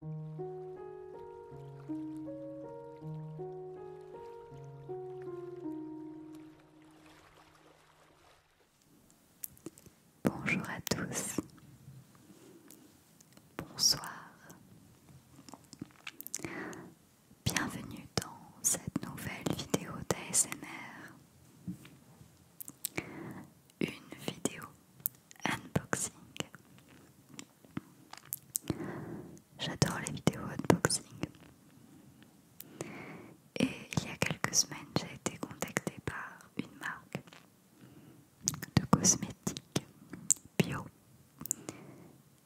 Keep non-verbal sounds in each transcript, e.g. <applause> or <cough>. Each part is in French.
Bonjour à tous, bonsoir, bienvenue dans cette nouvelle vidéo d'ASMR, une vidéo unboxing. J'adore les vidéos unboxing. Et il y a quelques semaines, j'ai été contactée par une marque de cosmétiques bio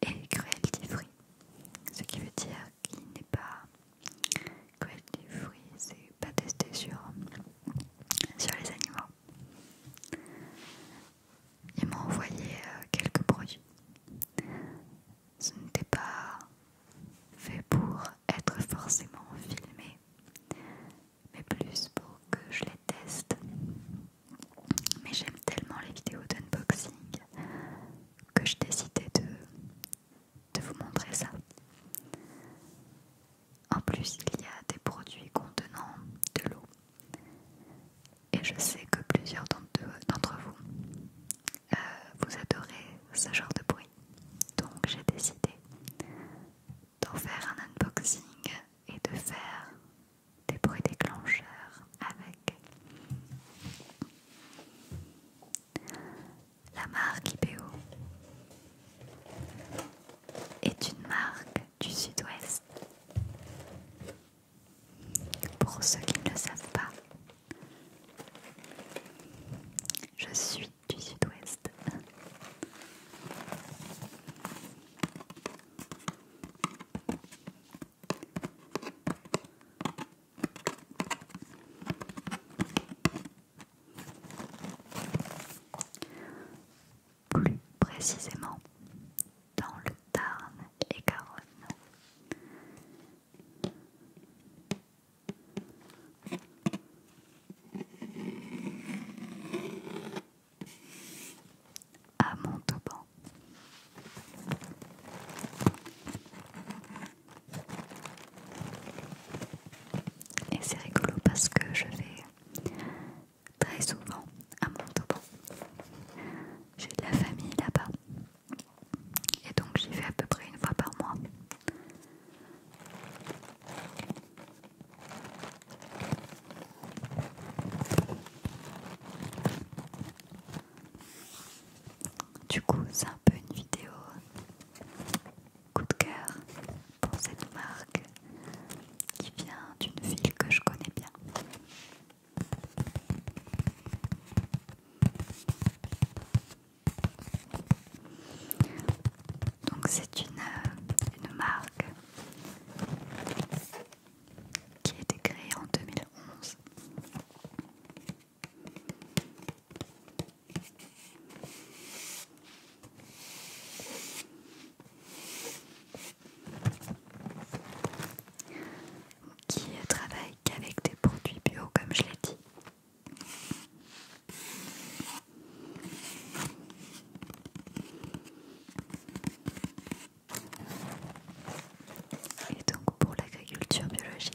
et cruelty free. Ce qui veut dire qu'il n'est pas cruelty free, c'est pas testé sur, sur les animaux. Ils m'ont envoyé euh, quelques produits. Ce n'était pas fait pour être forcément filmé, mais plus pour que je les teste. Mais j'aime tellement les vidéos d'unboxing que je décidais de, de vous montrer ça. En plus, il y a des produits contenant de l'eau. Et je sais que plusieurs d'entre vous, euh, vous adorez ce genre de bruit. Donc j'ai décidé d'en faire un unboxing et de faire des bruits déclencheurs avec. La marque IPO est une marque du sud-ouest. Pour ceux qui ne le savent pas, je suis du sud-ouest plus précisément dans le Tarn et caronne. À Montauban. Et c'est rigolo parce que je vais très souvent à Montauban. J'ai de la famille là-bas. Et donc j'y vais à peu près une fois par mois. Du coup, c'est un peu une vidéo coup de cœur pour cette marque qui vient d'une ville que je connais bien. Donc c'est une, marque qui a été créée en 2011 qui travaille qu'avec des produits bio comme je l'ai dit. Et donc pour l'agriculture biologique.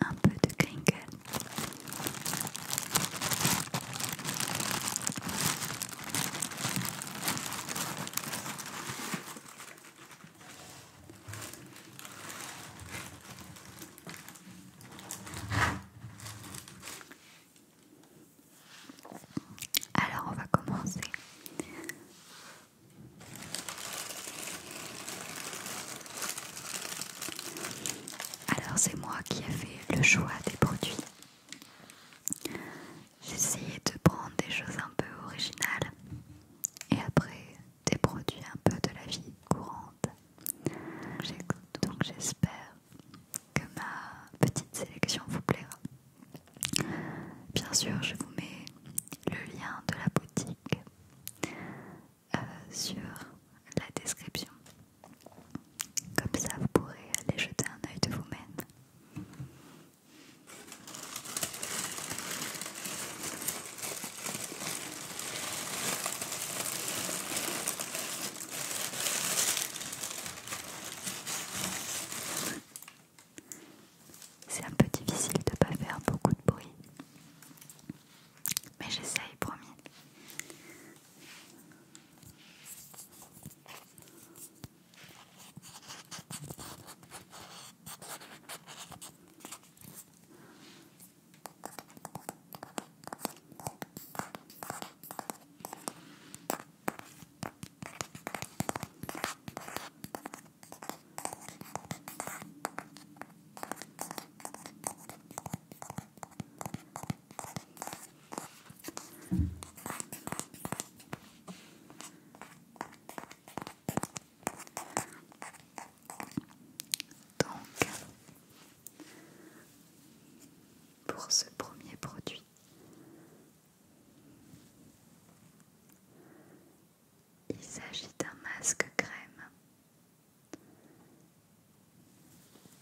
un peu de crinkle. Alors on va commencer alors c'est moi qui ai fait le choix des produits. J'ai de prendre des choses un peu originales et après des produits un peu de la vie courante. Donc j'espère que ma petite sélection vous plaira. Bien sûr, je vous mets le lien de la boutique euh, sur la description. Comme ça, vous pourrez aller jeter un œil de vous-même. C'est un peu difficile de pas faire beaucoup de bruit. Mais j'essaye, promis pour ce premier produit, il s'agit d'un masque crème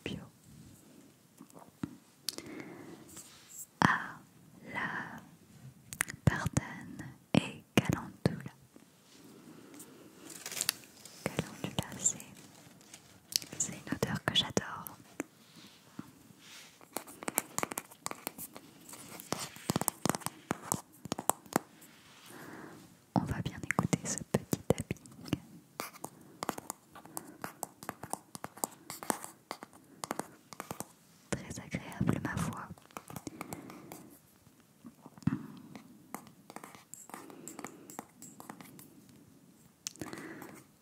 bio à la partane et Calendula. Calendula, c'est une odeur que j'adore. On va bien écouter ce petit tapping. Très agréable, ma voix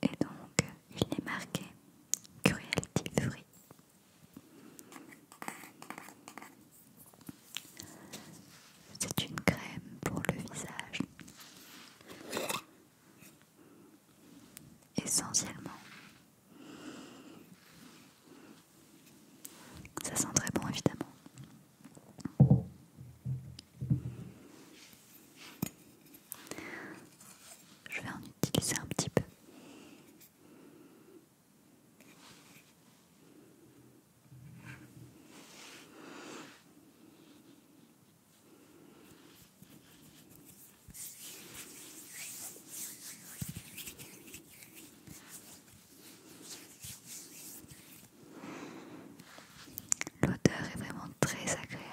Et donc, il est marqué Cruelty Free c'est une crème pour le visage. Essentiellement. Ça sent très bon évidemment. Je vais en utiliser un petit peu. L'odeur est vraiment très agréable.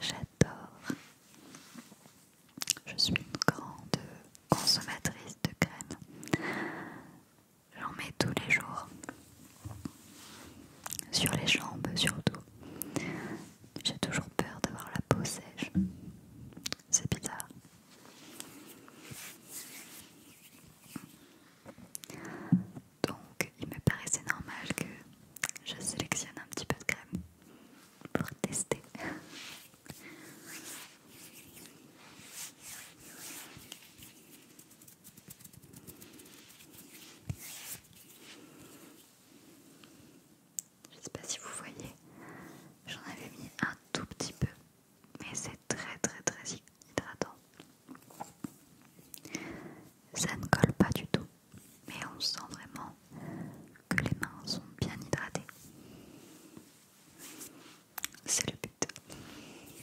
J'adore. Je suis une grande consommatrice de crème. J'en mets tous les jours. Sur les jambes surtout. J'ai toujours peur d'avoir la peau sèche. C'est bizarre. Donc il me paraissait normal que je sélectionne un petit peu de crème pour tester. Je sais pas si vous voyez, j'en avais mis un tout petit peu, mais c'est très très très hydratant. Ça ne colle pas du tout, mais on sent vraiment que les mains sont bien hydratées. C'est le but.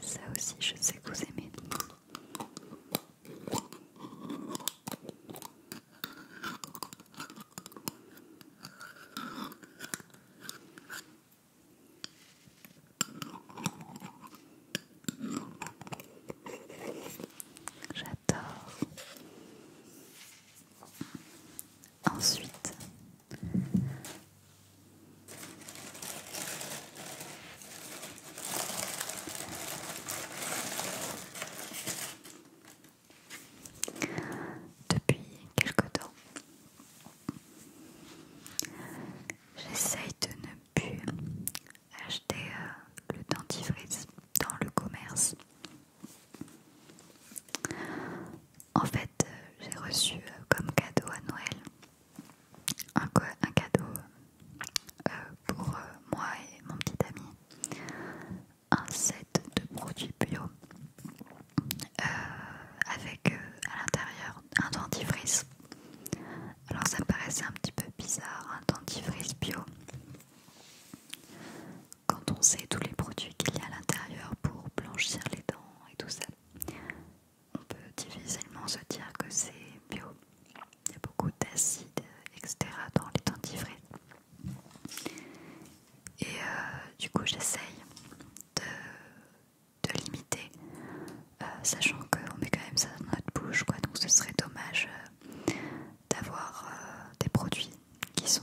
Ça aussi, je sais que vous aimez. J'adore. Ensuite, depuis quelque temps, J'essaye de ne plus acheter euh, le dentifrice dans le commerce. En fait, euh, j'ai reçu euh, comme cadeau à Noël un, cadeau pour moi et mon petit ami, un set de produits bio euh, avec euh, à l'intérieur un dentifrice. Alors ça me paraissait un petit peu bizarre, un dentifrice bio. Quand on sait tous les produits qu'il y a à l'intérieur pour blanchir les dents et tout ça, on peut difficilement se dire que c'est bio. Il y a beaucoup d'acide, etc. dans les dentifrices. Et euh, du coup, j'essaye de de limiter, euh, sachant qu'on met quand même ça dans notre bouche, donc ce serait dommage euh, d'avoir euh, des produits qui sont,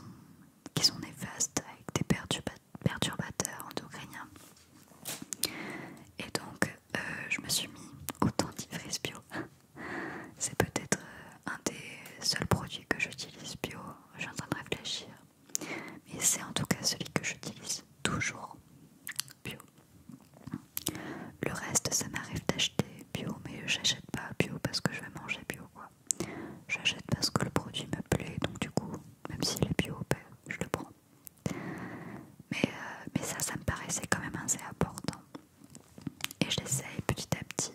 qui sont néfastes avec des perturbateurs endocriniens. Et donc, je me suis mis au dentifrice bio. <laughs> C'est peut-être un des seuls produits que j'utilise bio. Je suis en train de réfléchir. Mais c'est en tout cas celui que j'utilise toujours bio. Le reste, ça m'arrive d'acheter bio, mais j'achète pas bio parce que je vais manger bio quoi. J'achète parce que le produit me plaît, donc du coup, même s'il est bio, ben, je le prends. Mais, euh, mais ça, ça me paraissait quand même assez important. Et j'essaye petit à petit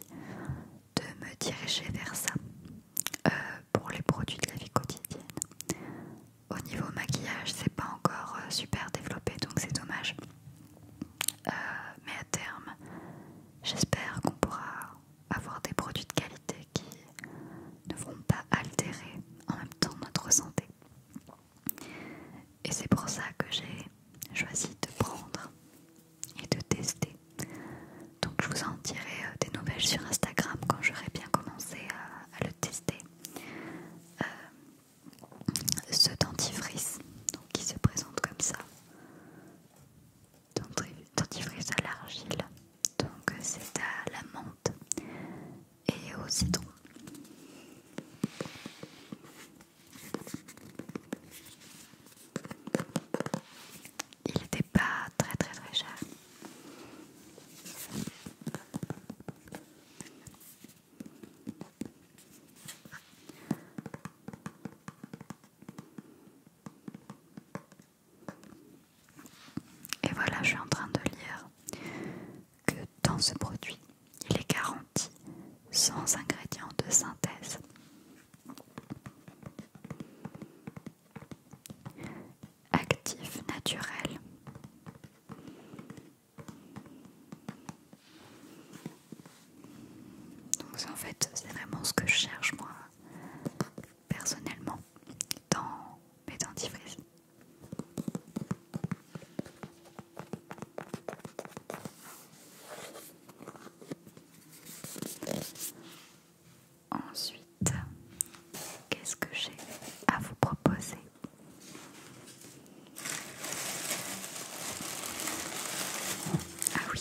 de me diriger vers ça pour les produits de la vie quotidienne. Au niveau maquillage, c'est pas encore euh, super développé donc c'est dommage. Euh, mais à terme, j'espère qu'on pourra avoir des produits de qualité qui ne vont pas altérer en même temps notre santé. Et c'est pour ça que j'ai choisi de prendre et de tester donc je vous en dirai euh, des nouvelles sur Instagram quand j'aurai bien commencé à, le tester. Euh, ce dentifrice qui se présente comme ça. Dentifrice à l'argile. Donc euh, c'est à la menthe et au citron il n'était pas très très très cher. Et voilà, je suis en train de lire que dans ce produit, il est garanti sans ingrédients de synthèse actif naturel. Donc en fait, c'est vraiment ce que je cherche moi personnellement dans mes dentifrices. Ensuite, qu'est-ce que j'ai à vous proposer Ah oui.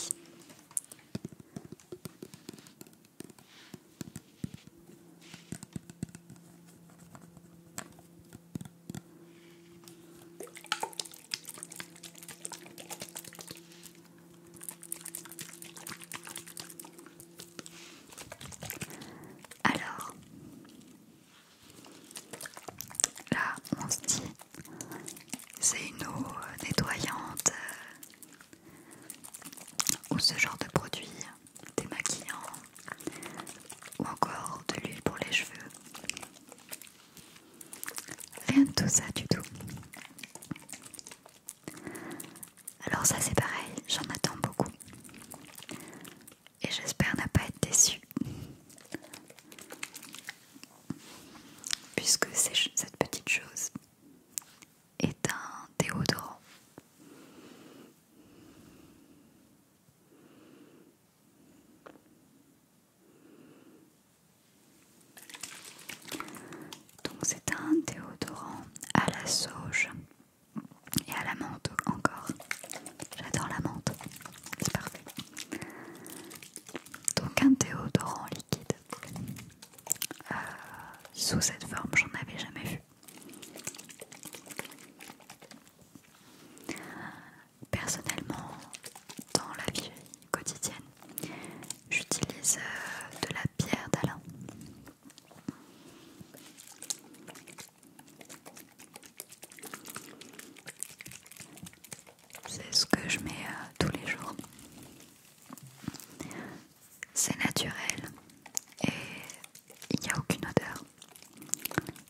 Alors, là, on se dit, c'est une eau euh, nettoyante euh, ou ce genre de produit démaquillant ou encore de l'huile pour les cheveux. Rien de tout ça du tout. Alors ça c'est pareil, j'en attends beaucoup. Et j'espère ne pas être déçue. Puisque cette petite chose est un déodorant. Donc c'est un déodorant à la sauge et à la menthe encore. J'adore la menthe, c'est parfait. Donc un déodorant liquide. Euh, sous cette forme, j'en avais jamais vu. Personnellement, dans la vie quotidienne, j'utilise euh, de la pierre d'Alain. C'est ce que je mets euh, tous les jours. C'est naturel et il n'y a aucune odeur.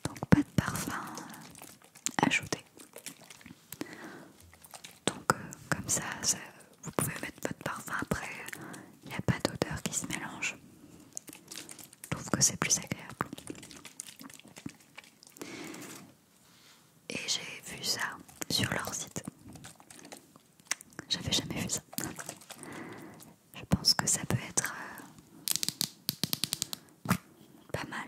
Donc pas de parfum euh, ajouté. Donc euh, comme ça, ça vous pouvez mettre votre parfum après, il n'y a pas d'odeur qui se mélange. Je trouve que c'est plus agréable. Et j'ai vu ça sur leur site. J'avais jamais vu ça. Je pense que ça peut être euh, pas mal.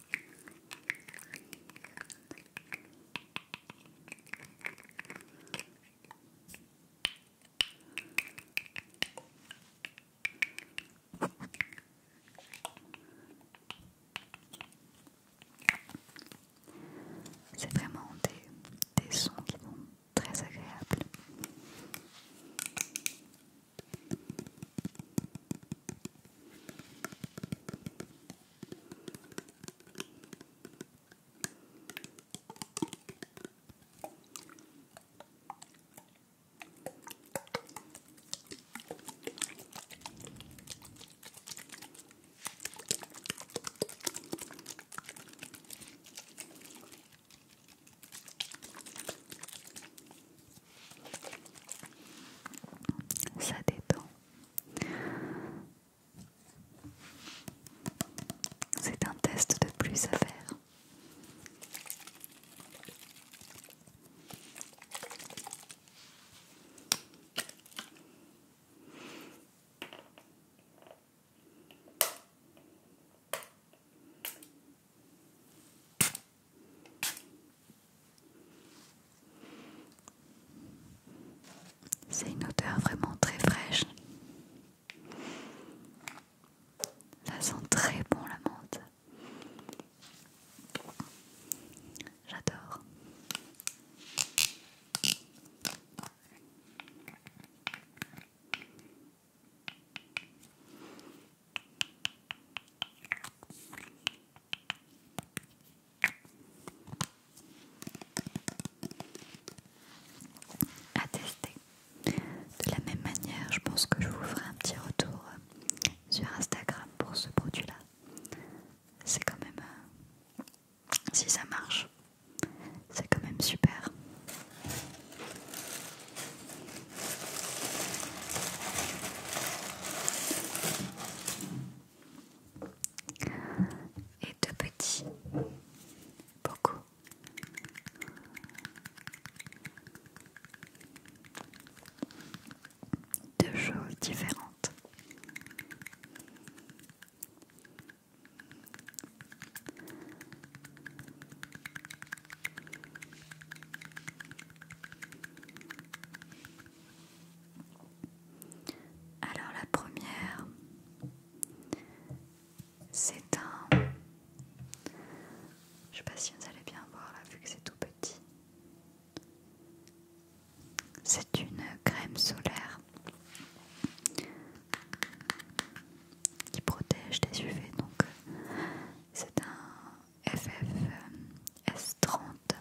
C'est vraiment des, sons qui sont très agréables. Ça dépend. C'est un test de plus à faire. C'est une odeur vraiment très fraîche. Ça sent très bon la menthe. J'adore à tester. De la même manière, je pense que je vous ferai un petit retour euh, sur Instagram pour ce produit-là. C'est quand même... Euh, si ça marche, c'est quand même super et de petits, beaucoup. Deux choses différentes. Alors la première, c'est un... Je sais pas si vous allez bien voir là vu que c'est tout petit. C'est une crème solaire qui protège des UV donc euh, c'est un FFS30.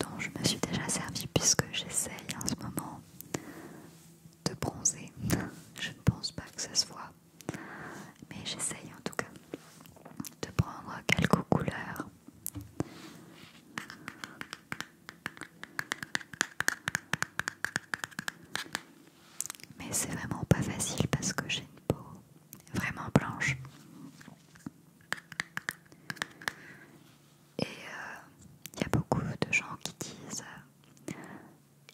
Dont je me suis déjà servi puisque j'essaye en ce moment de bronzer. <laughs> Je ne pense pas que ça soit mais j'essaye en tout cas de prendre quelques couleurs mais c'est vraiment pas facile parce que j'ai une peau vraiment blanche et il euh, y a beaucoup de gens qui disent euh,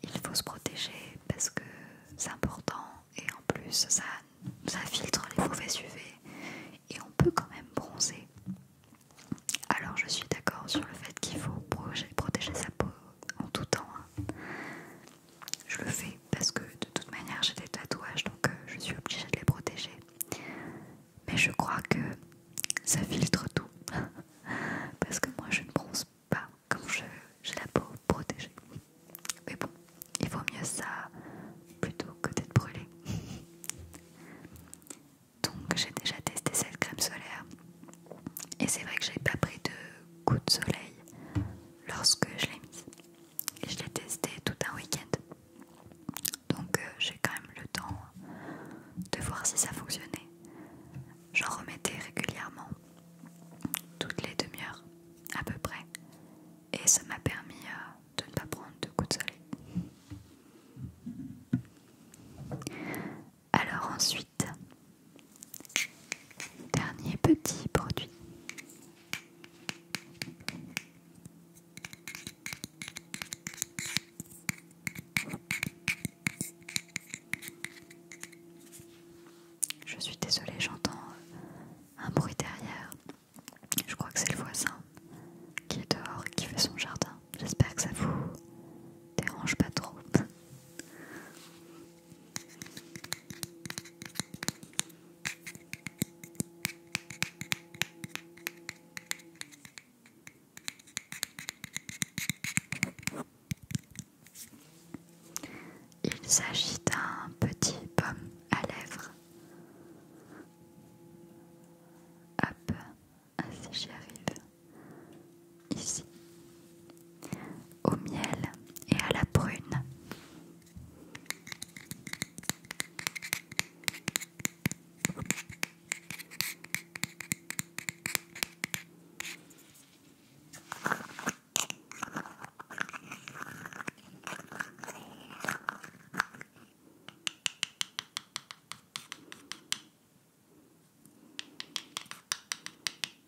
il faut se protéger parce que c'est important et en plus ça, filtre les mauvais UV et on peut quand même bronzer alors je suis d'accord sur le fait qu'il faut protéger sa peau en tout temps hein je le fais parce que de toute manière j'ai des tatouages donc euh, je suis obligée de les protéger. Mais je crois que ça filtre tout <laughs> parce que moi je ne bronze pas comme j'ai la peau protégée. Mais bon, il vaut mieux ça plutôt que d'être brûlé. <laughs> Donc j'ai déjà testé cette crème solaire et c'est vrai que j'ai pas pris de coup de soleil lorsque je l'ai mis Et je l'ai testé tout un week-end. Donc euh, j'ai quand même le temps de voir si ça fonctionnait. J'en remettais régulièrement, toutes les demi-heures à peu près. Et ça m'a permis euh, de ne pas prendre de coups de soleil. Alors ensuite, dernier petit produit. Je suis désolée, j'entends un bruit derrière. Je crois que c'est le voisin qui est dehors qui fait son jardin. J'espère que ça vous dérange pas trop. Il s'agit d'un petit pomme à lèvres. Hop, ainsi j'y arrive ici, au miel et à la prune.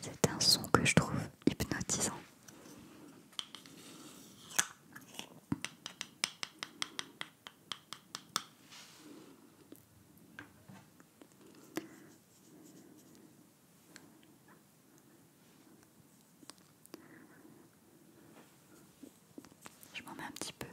C'est un son que je trouve hypnotisant. Je m'en mets un petit peu.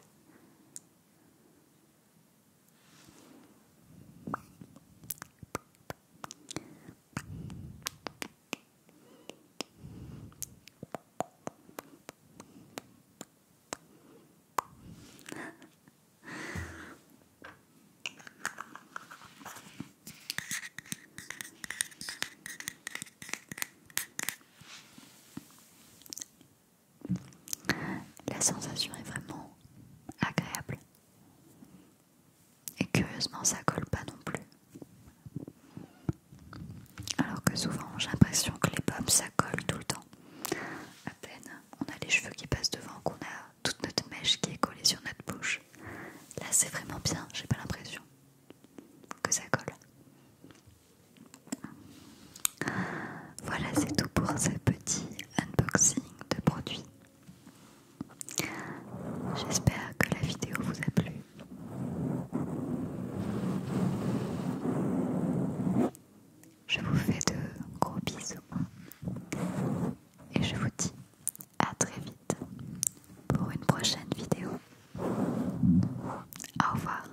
La sensation est vraiment agréable et curieusement, ça colle pas non plus. Alors que souvent, j'ai l'impression que les pommes, ça colle tout le temps. À peine, on a les cheveux qui passent devant, qu'on a toute notre mèche qui est collée sur notre bouche. Là, c'est vraiment bien, j'ai pas l'impression que ça colle. Voilà, c'est tout pour ce petit unboxing de produits. J'espère que la vidéo vous a plu. Je vous fais de gros bisous et je vous dis à très vite pour une prochaine vidéo. Au revoir.